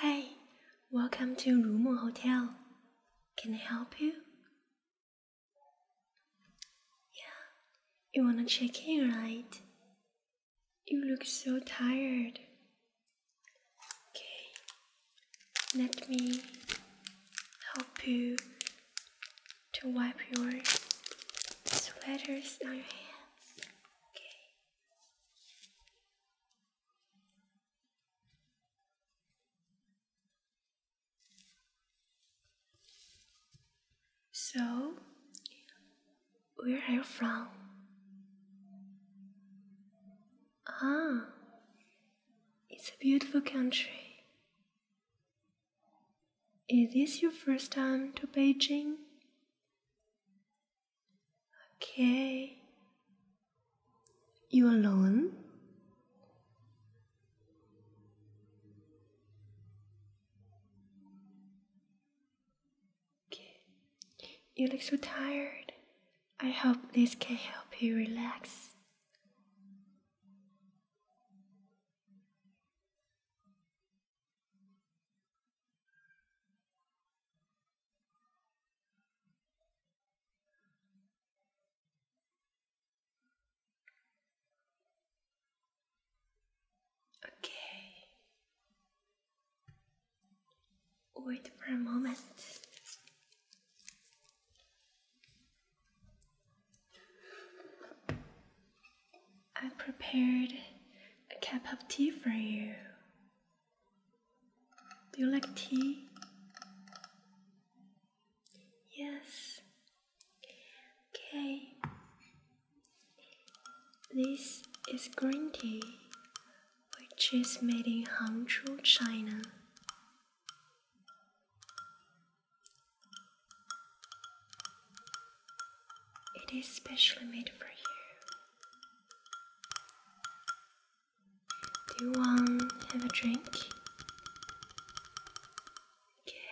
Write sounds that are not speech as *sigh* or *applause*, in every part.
Hey, welcome to Rumo Hotel. Can I help you? Yeah, you wanna check in, right? You look so tired. Okay, let me help you to wipe your sweaters on your hands. Okay. So, where are you from? Ah, it's a beautiful country. Is this your first time to Beijing? Okay. You alone? Okay. You look so tired. I hope this can help you relax. Okay. Wait for a moment. I prepared a cup of tea for you. Do you like tea? Yes. Okay. This is green tea, which is made in Hangzhou, China. It is specially made for you. Do you want have a drink? Okay.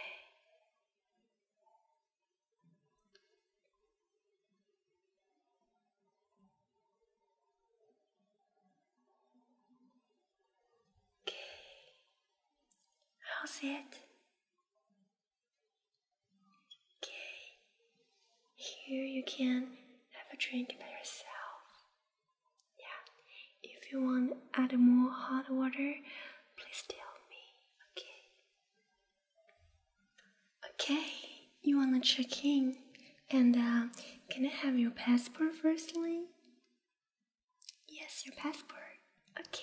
Okay. How's it? Okay, here you can have a drink by yourself. Yeah, if you want to add more hot water, please tell me. Okay. Okay, you wanna check in, and uh, can I have your passport firstly? Yes, your passport. Okay.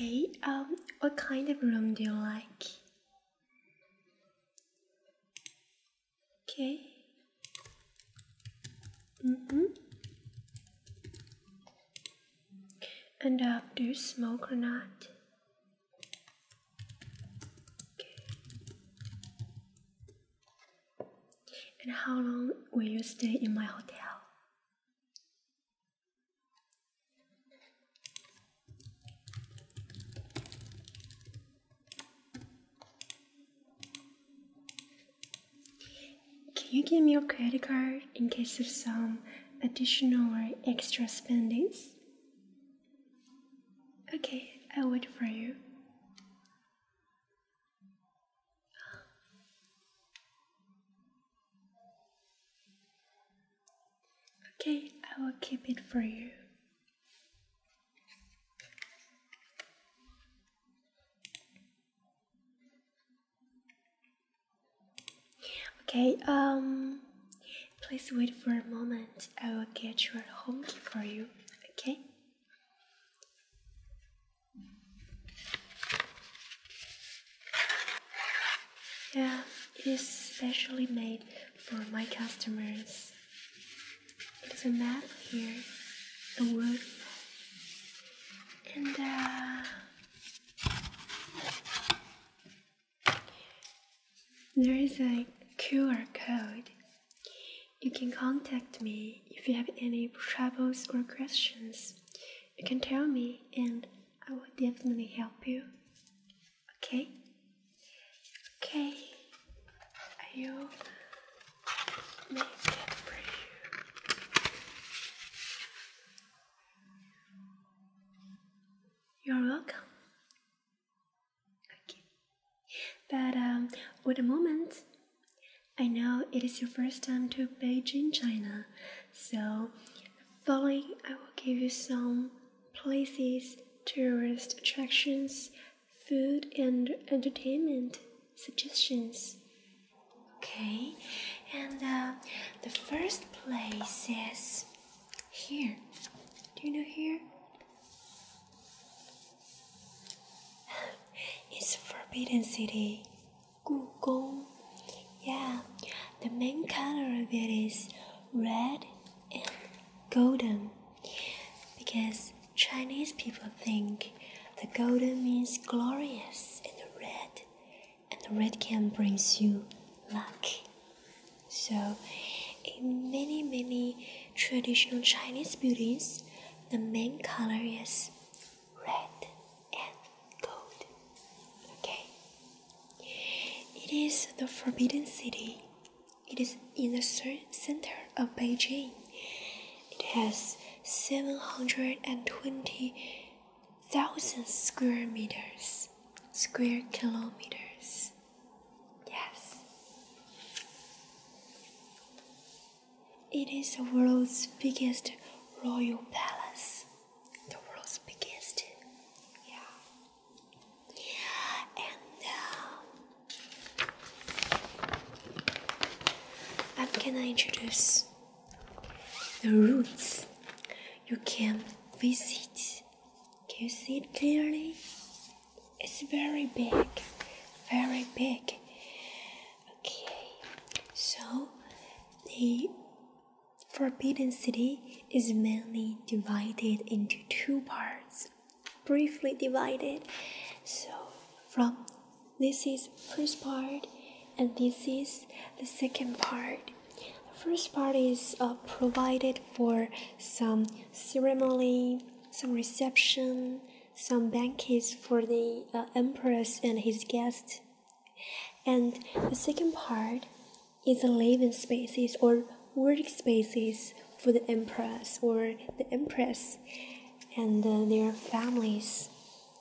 Okay, um, what kind of room do you like? Okay. Mm-hmm and do you smoke or not and how long will you stay in my hotel can you give me your credit card in case of some additional or extra spendings? Okay, I'll wait for you. Okay, I will keep it for you. Okay, um, please wait for a moment. I will get your home key for you, okay? Yeah, it is specially made for my customers. It is a map here, a wood, and uh, there is a QR code. You can contact me if you have any troubles or questions. You can tell me and I will definitely help you. Okay? Okay. I will make it for you. You're welcome. But um, with a moment, I know it is your first time to Beijing, China, so following I will give you some places, tourist attractions, food and entertainment suggestions Okay, and uh, the first place is here. Do you know here? *laughs* it's Forbidden City, Gugong. Yeah, the main color of it is red and golden because Chinese people think the golden means glorious and the red and the red can brings you luck. So, in many many traditional Chinese buildings, the main color is red and gold. Okay. It is the Forbidden City. It is in the center of Beijing. It has 720 thousand square meters, square kilometers. Yes. It is the world's biggest royal palace. The world's biggest. Yeah. And uh, I'm going introduce the roots you can visit. Can you see it clearly? It's very big, very big. Okay, so the Forbidden City is mainly divided into two parts, briefly divided. So, from this is first part and this is the second part. The first part is uh, provided for some ceremony, some reception, some banquets for the uh, empress and his guests. And the second part is the living spaces or work spaces for the empress or the empress and uh, their families.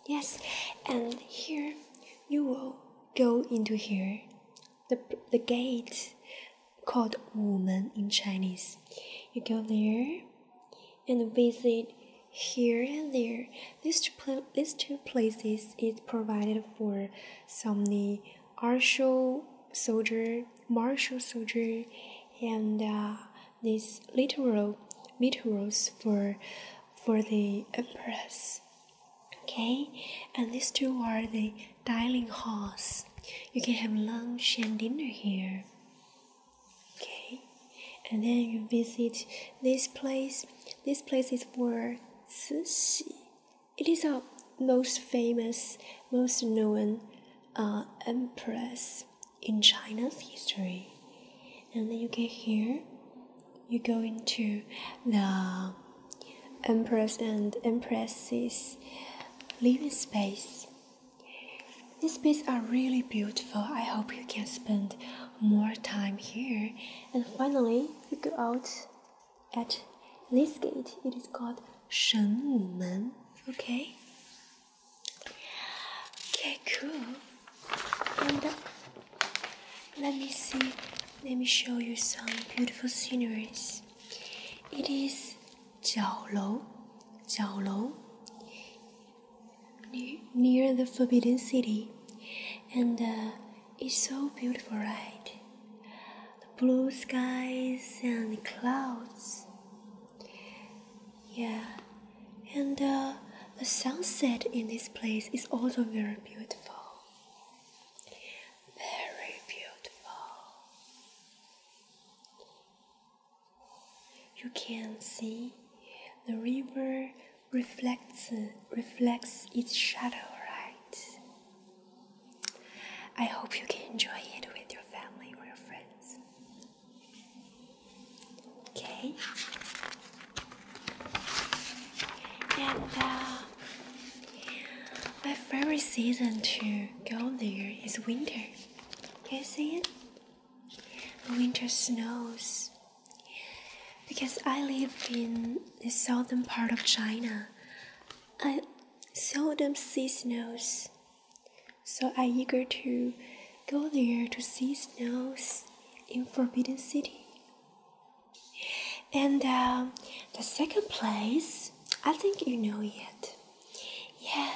Yes, and here you will go into here, the, the gate called woman in Chinese. You go there and visit here and there. These two, places is provided for some the martial soldier, martial soldier, and uh, these literal literals for for the empress. Okay, and these two are the dining halls. You can have lunch and dinner here. Okay, and then you visit this place. This place is for Cixi. It is a most famous, most known uh, empress in China's history and then you get here you go into the empress and empress's living space these spaces are really beautiful i hope you can spend more time here and finally you go out at this gate it is called shenwu men okay okay cool and let me see, let me show you some beautiful sceneries. It is Jiaolou, Jiaolou, near, near the Forbidden City. And uh, it's so beautiful, right? The blue skies and clouds. Yeah, and uh, the sunset in this place is also very beautiful. Very beautiful. You can see the river reflects reflects its shadow, right? I hope you can enjoy it with your family or your friends. Okay. And uh, my favorite season to go there is winter. you see winter snows. Because I live in the southern part of China, I seldom see snows. So i eager to go there to see snows in Forbidden City. And uh, the second place, I think you know it. Yeah,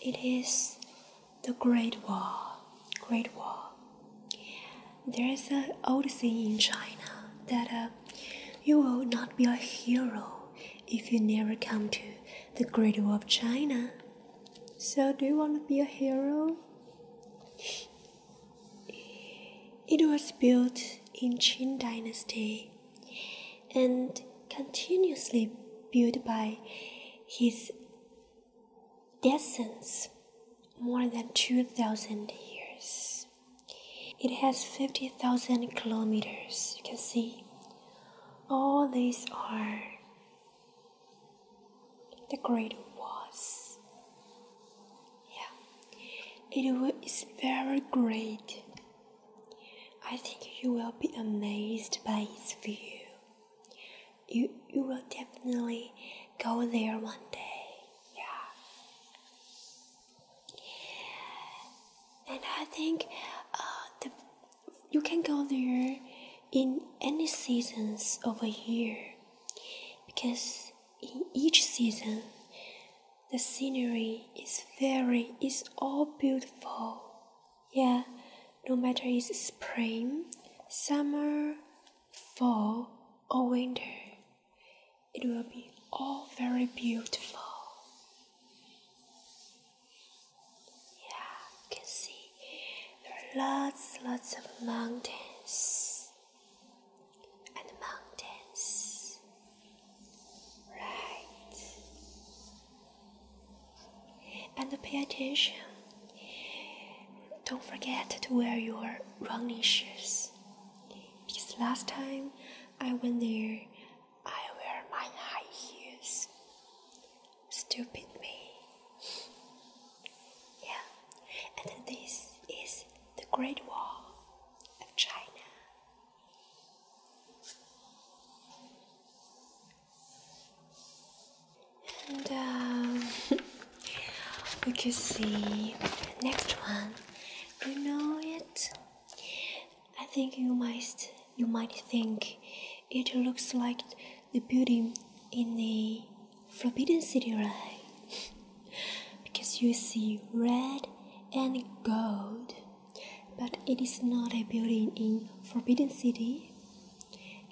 it is the Great Wall. Great Wall. There is an old saying in China that uh, you will not be a hero if you never come to the Great Wall of China. So, do you want to be a hero? It was built in Qin Dynasty and continuously built by his descendants more than 2,000 years. It has 50,000 kilometers, you can see. All these are the Great Was. Yeah, it is very great. I think you will be amazed by its view. You, you will definitely go there one day. Yeah. And I think uh, you can go there in any seasons of a year because in each season the scenery is very is all beautiful yeah no matter it's spring summer fall or winter it will be all very beautiful yeah can see there are lots, lots of mountains and mountains. Right. And pay attention. Don't forget to wear your running shoes. Because last time I went there, I wear my high heels stupid me. Yeah, and this is the Great Wall of China. And um, *laughs* we can see the next one. You know it? I think you might you might think it looks like the building in the Forbidden City right? *laughs* because you see red and gold, but it is not a building in Forbidden City.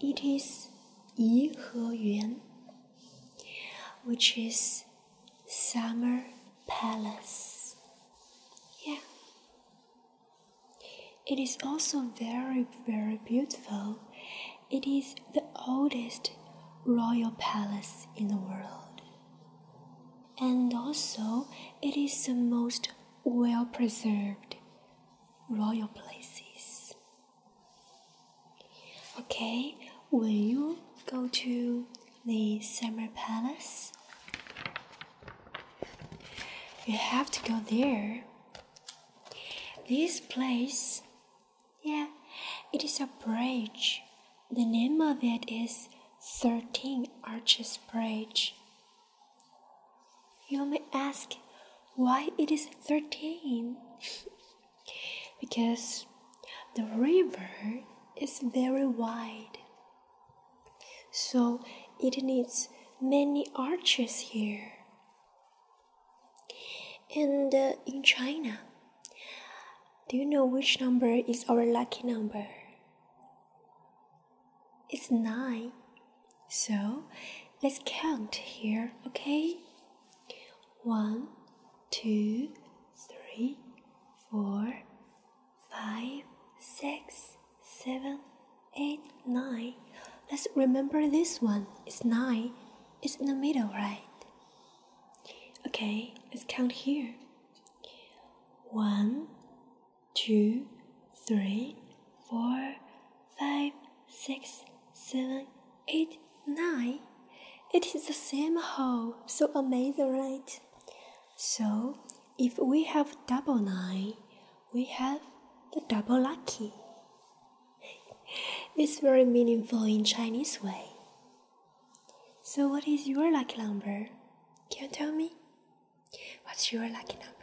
It is Yi Yuan, which is Summer Palace. Yeah. It is also very, very beautiful. It is the oldest royal palace in the world. And also, it is the most well preserved royal places. Okay, when you go to the summer palace, you have to go there this place, yeah, it is a bridge. The name of it is 13 Arches Bridge. You may ask why it is 13? *laughs* because the river is very wide. So it needs many arches here and uh, in China, do you know which number is our lucky number? It's nine. So let's count here, okay? One, two, three, four, five, six, seven, eight, nine. Let's remember this one. It's nine. It's in the middle, right? Okay, let's count here. One, two, three, four, five, six, seven, eight, nine. It is the same hole. So amazing, right? So, if we have double nine, we have the double lucky. *laughs* it's very meaningful in Chinese way. So what is your lucky number? Can you tell me? What's your lucky number?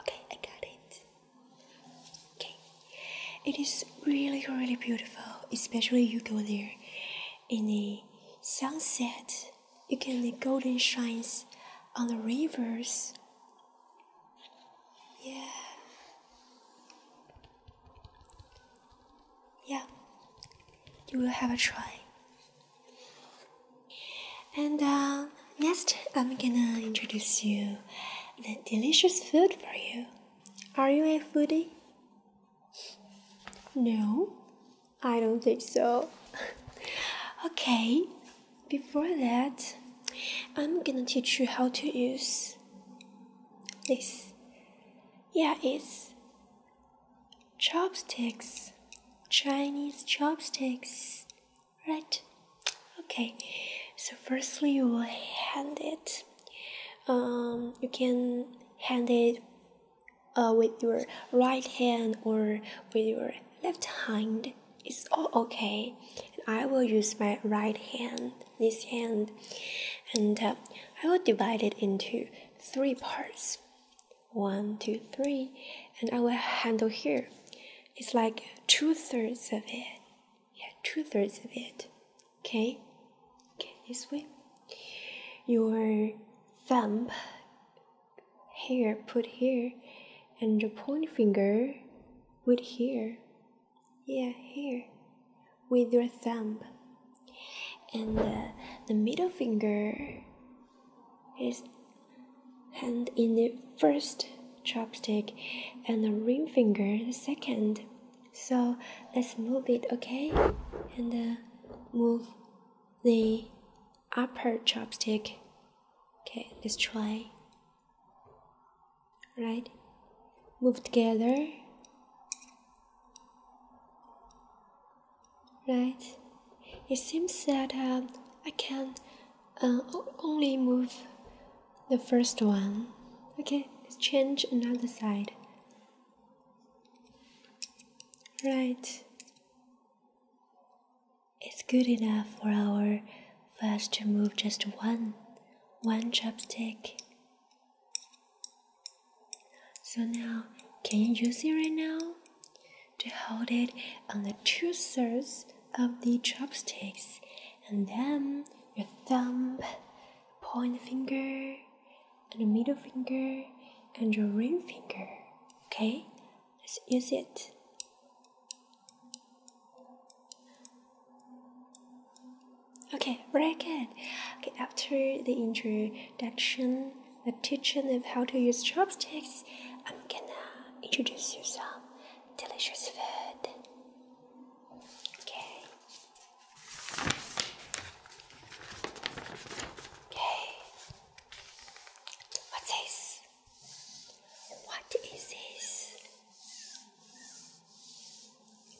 Okay, I got it. Okay. It is really really beautiful, especially you go there in the sunset you can the golden shines on the rivers. Yeah. Yeah. You will have a try. And uh, next, I'm gonna introduce you the delicious food for you. Are you a foodie? No, I don't think so. *laughs* okay, before that, I'm gonna teach you how to use this. Yeah, it's chopsticks, Chinese chopsticks, right? Okay, so firstly, you will hand it. Um, you can hand it uh, with your right hand or with your left hand it's all okay. And I will use my right hand, this hand, and uh, I will divide it into three parts. One, two, three, and I will handle here. It's like two thirds of it. Yeah, two thirds of it. Okay? Okay, this way. Your thumb here, put here and your point finger with here yeah here with your thumb and uh, the middle finger is hand in the first chopstick and the ring finger the second so let's move it okay and uh, move the upper chopstick. Okay, let's try. Right, move together. Right, it seems that um, I can uh, only move the first one. Okay, let's change another side. Right. It's good enough for our flash to move just one, one chopstick. So now, can you use it right now? To hold it on the two thirds of the chopsticks, and then your thumb, point finger, and the middle finger, and your ring finger. Okay, Let's use it. Okay, very good. Okay, after the introduction, the teaching of how to use chopsticks, I'm gonna introduce you some delicious food. Okay. Okay. What's this? What is this?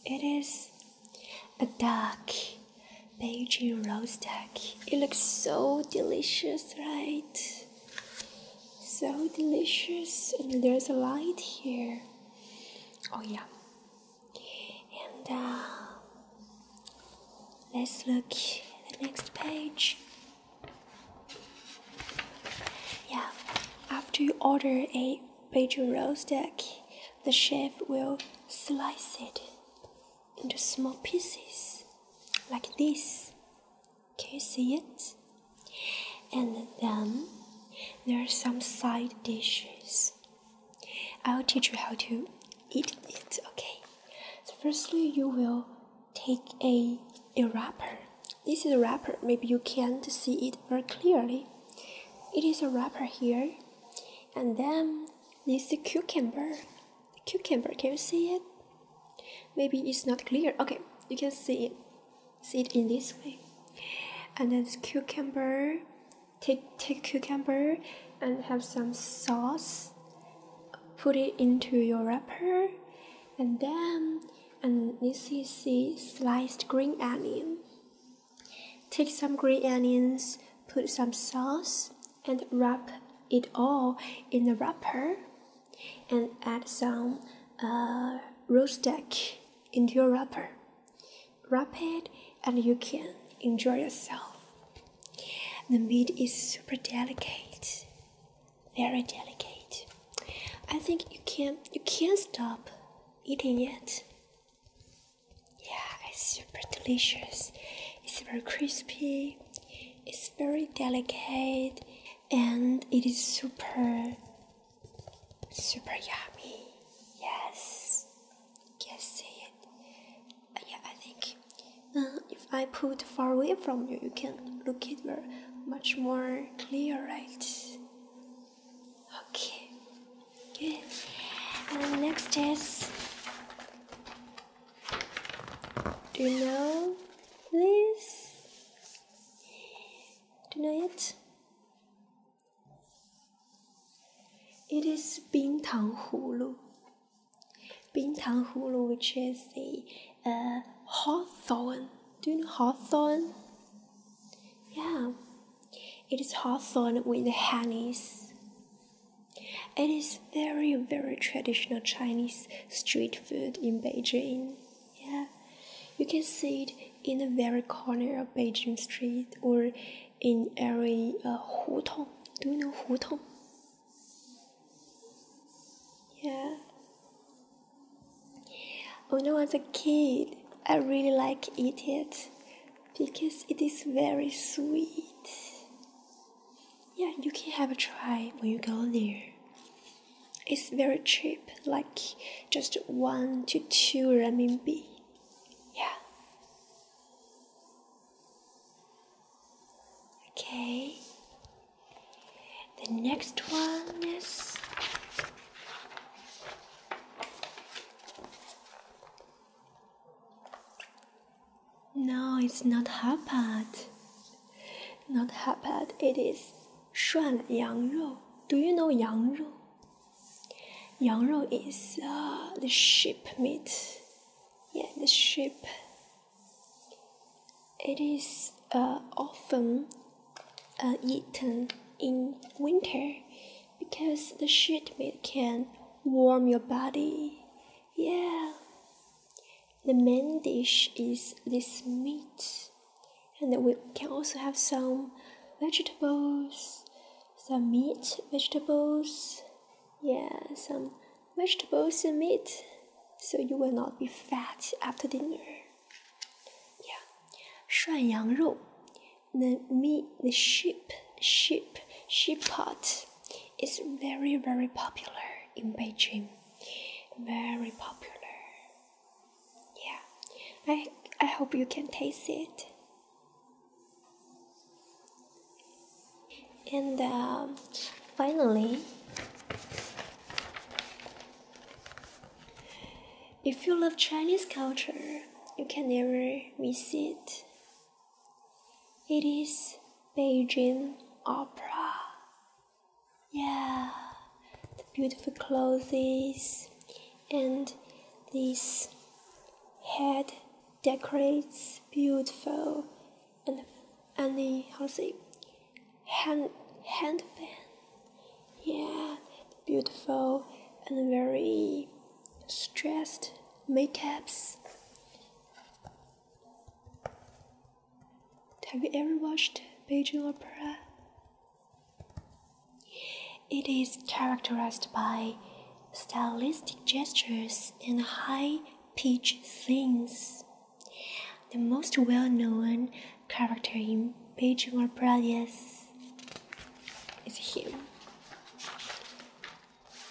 It is a duck, Beijing roast duck. It looks so delicious, right? So delicious, and there's a light here. Oh yeah, and uh, let's look at the next page. Yeah, after you order a Beijing roast duck, the chef will slice it into small pieces like this. Can you see it? And then there are some side dishes. I'll teach you how to eat it okay so firstly you will take a a wrapper this is a wrapper maybe you can't see it very clearly it is a wrapper here and then this is cucumber the cucumber can you see it maybe it's not clear okay you can see it see it in this way and then cucumber take take cucumber and have some sauce put it into your wrapper and then and this is the sliced green onion take some green onions put some sauce and wrap it all in the wrapper and add some uh, roast duck into your wrapper wrap it and you can enjoy yourself the meat is super delicate, very delicate. I think you can you can't stop eating it. Yeah, it's super delicious. It's very crispy. It's very delicate, and it is super super yummy. Yes, can see it. Uh, yeah, I think if I put far away from you, you can look at her much more clear, right? Okay, good. And next is, do you know Please. Do you know it? It is Bintang Hulu. Bintang Hulu, which is a uh, hawthorn. Do you know hawthorn? Yeah, it is hawthorn with the honeys. It is very, very traditional Chinese street food in Beijing. Yeah, you can see it in the very corner of Beijing street or in every uh, hutong. Do you know hutong? Yeah. When I was a kid, I really like eat it because it is very sweet. Yeah, you can have a try when you go there. It's very cheap, like just one to two RMB. Yeah. Okay. The next one is No, it's not Hapad. Not Hapad, it is Shuan Yang Rou. Do you know Yang Rou? Yang Rou is uh, the sheep meat yeah, the sheep. It is uh, often uh, eaten in winter because the sheep meat can warm your body. Yeah. The main dish is this meat, and we can also have some vegetables, some meat, vegetables, yeah, some vegetables and meat so you will not be fat after dinner. Yeah. 涮羊肉 the meat the sheep sheep sheep pot is very very popular in Beijing. Very popular. Yeah. I I hope you can taste it and uh, finally if you love chinese culture you can never miss it it is beijing opera yeah the beautiful clothes and this head decorates beautiful and and how to say hand hand fan yeah beautiful and very stressed makeups have you ever watched Beijing opera it is characterized by stylistic gestures and high Peach sings. The most well known character in Beijing or Brothers is him.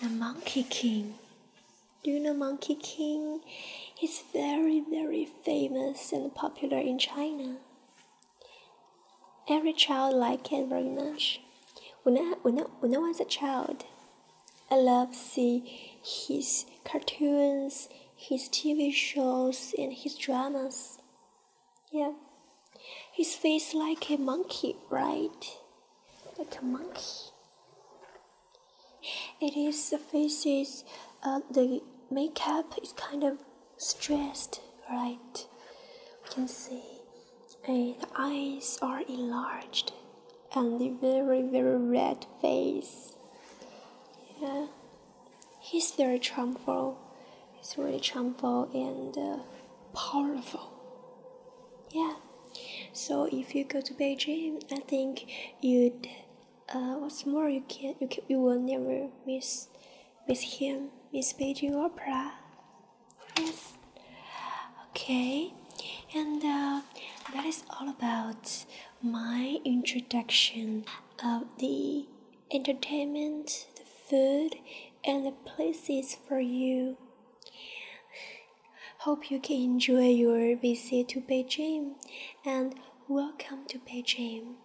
The Monkey King. Do you know Monkey King? He's very, very famous and popular in China. Every child liked it very much. When I, when I, when I was a child, I love see his cartoons, his TV shows, and his dramas. Yeah, his face like a monkey, right? Like a monkey. It is the faces. Uh, the makeup is kind of stressed, right? We can see uh, the eyes are enlarged and the very, very red face. Yeah, he's very charmful. He's really charmful and uh, powerful. Yeah. So if you go to Beijing, I think you'd. Uh, what's more, you can you can, you will never miss miss him, miss Beijing opera. Yes. Okay. And uh, that is all about my introduction of the entertainment, the food, and the places for you. Hope you can enjoy your visit to Beijing and welcome to Beijing.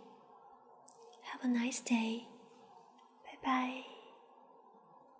Have a nice day. Bye bye.